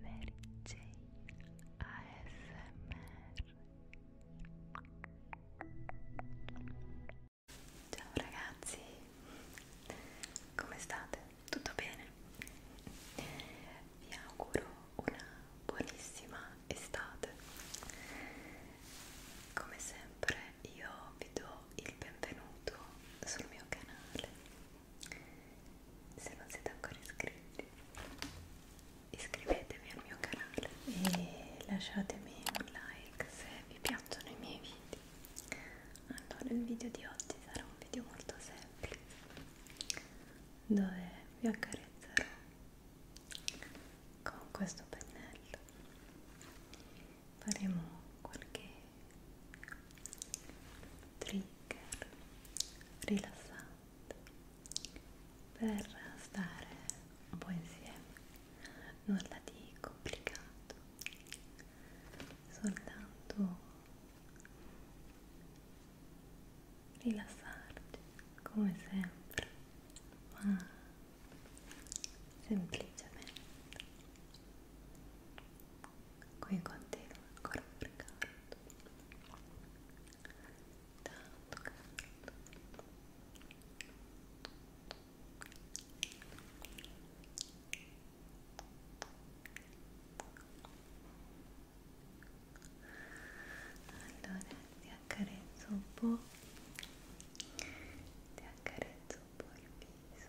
Mary Jane ASMR Ciao ragazzi, come state? Tutto bene? Vi auguro una buonissima estate. Come sempre io vi do il benvenuto sul mio canale se non siete ancora iscritti iscrivetevi al mio canale e lasciatemi un like se vi piacciono i miei video allora il video di oggi sarà un video molto semplice dove vi accarezzerò con questo pennello faremo qualche trigger rilassante per stare un po' insieme nulla di complicato soltanto rilassarti come sempre ma semplicemente qui continuo ancora per canto tanto canto allora ti accarezzo un po' ti accarezzo un po' il viso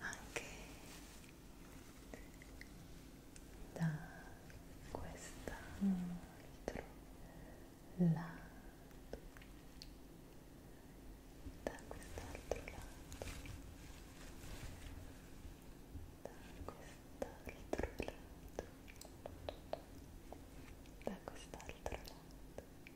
anche da quest'altro lato da quest'altro lato da quest'altro lato da quest'altro lato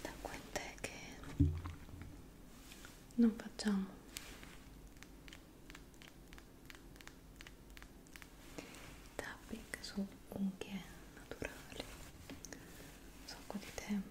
da quant'è che non facciamo tapping su unghie naturali un sacco di tempo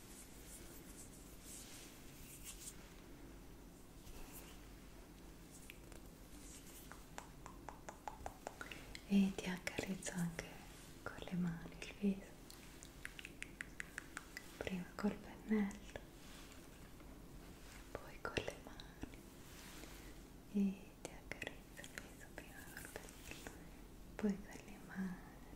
e ti accarezzo anche con le mani il viso prima col pennello poi con le mani e ti accarezzo il viso prima col pennello poi con le mani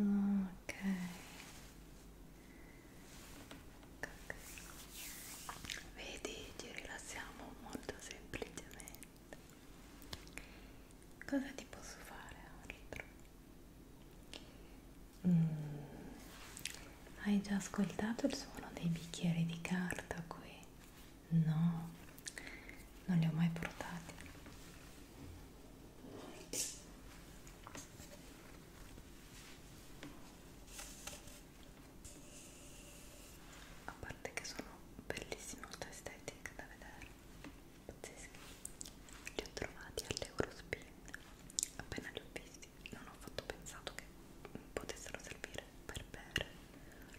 Ok. Vedi, ci rilassiamo molto semplicemente cosa ti posso fare altro? Mm. Hai già ascoltato il suono dei bicchieri di carta qui? No, non li ho mai portati. A parte che sono bellissime, molto estetiche da vedere pazzeschi li ho trovati all'Eurospin appena li ho visti non ho fatto pensato che potessero servire per bere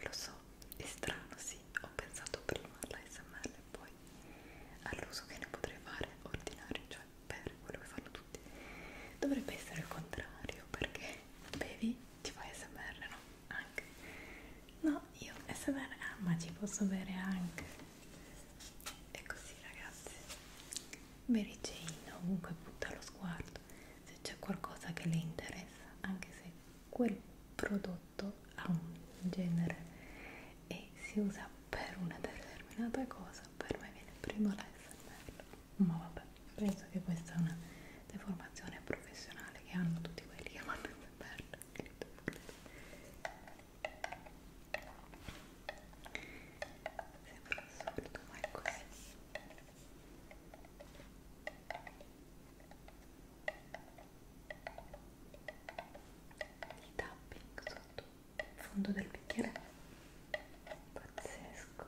lo so, è strano sì ho pensato prima all'ASMR e poi all'uso che ne potrei fare ordinario, cioè bere quello che fanno tutti dovrebbe essere il contrario perché bevi ti fai ASMR, no? anche no, no io SMR ah ma ci posso bere anche e così ragazzi Mary Jane ovunque butta lo sguardo se c'è qualcosa che le interessa anche se quel prodotto ha un genere e si usa per una determinata cosa per me viene prima la SMR ma vabbè penso che questa è una deformazione professionale che hanno tutti quelli che vanno in SMR Sembra assurdo, ma è così. Il tapping sotto il fondo del bicchiere pazzesco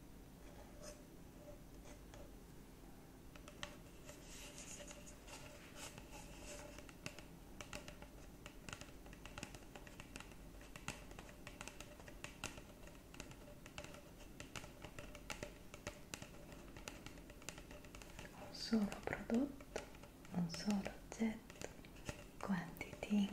un solo prodotto, un solo oggetto, quanti tingoli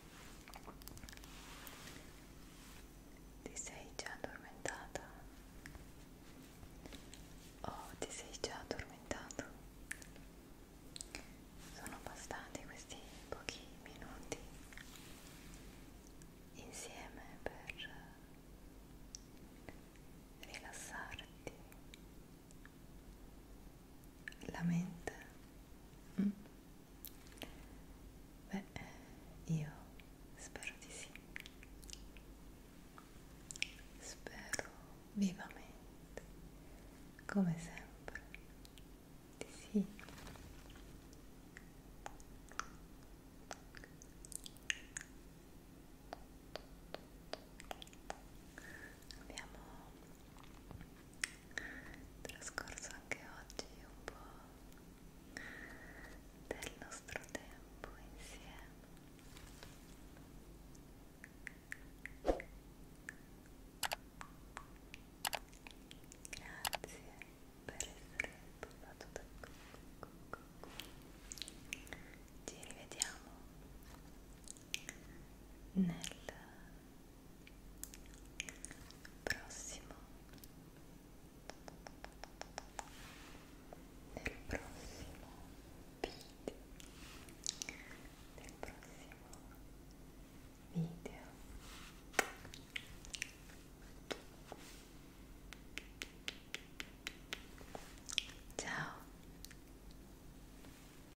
Ti sei già addormentata? Oh, ti sei già addormentato? Sono bastati questi pochi minuti insieme per rilassarti la mente. Mm. Beh, io spero di sì. Spero vivamente, come sempre, di sì. Abbiamo trascorso anche oggi un po' del nostro tempo insieme grazie per essere passato da qui ci rivediamo nel prossimo nel prossimo video nel prossimo video ciao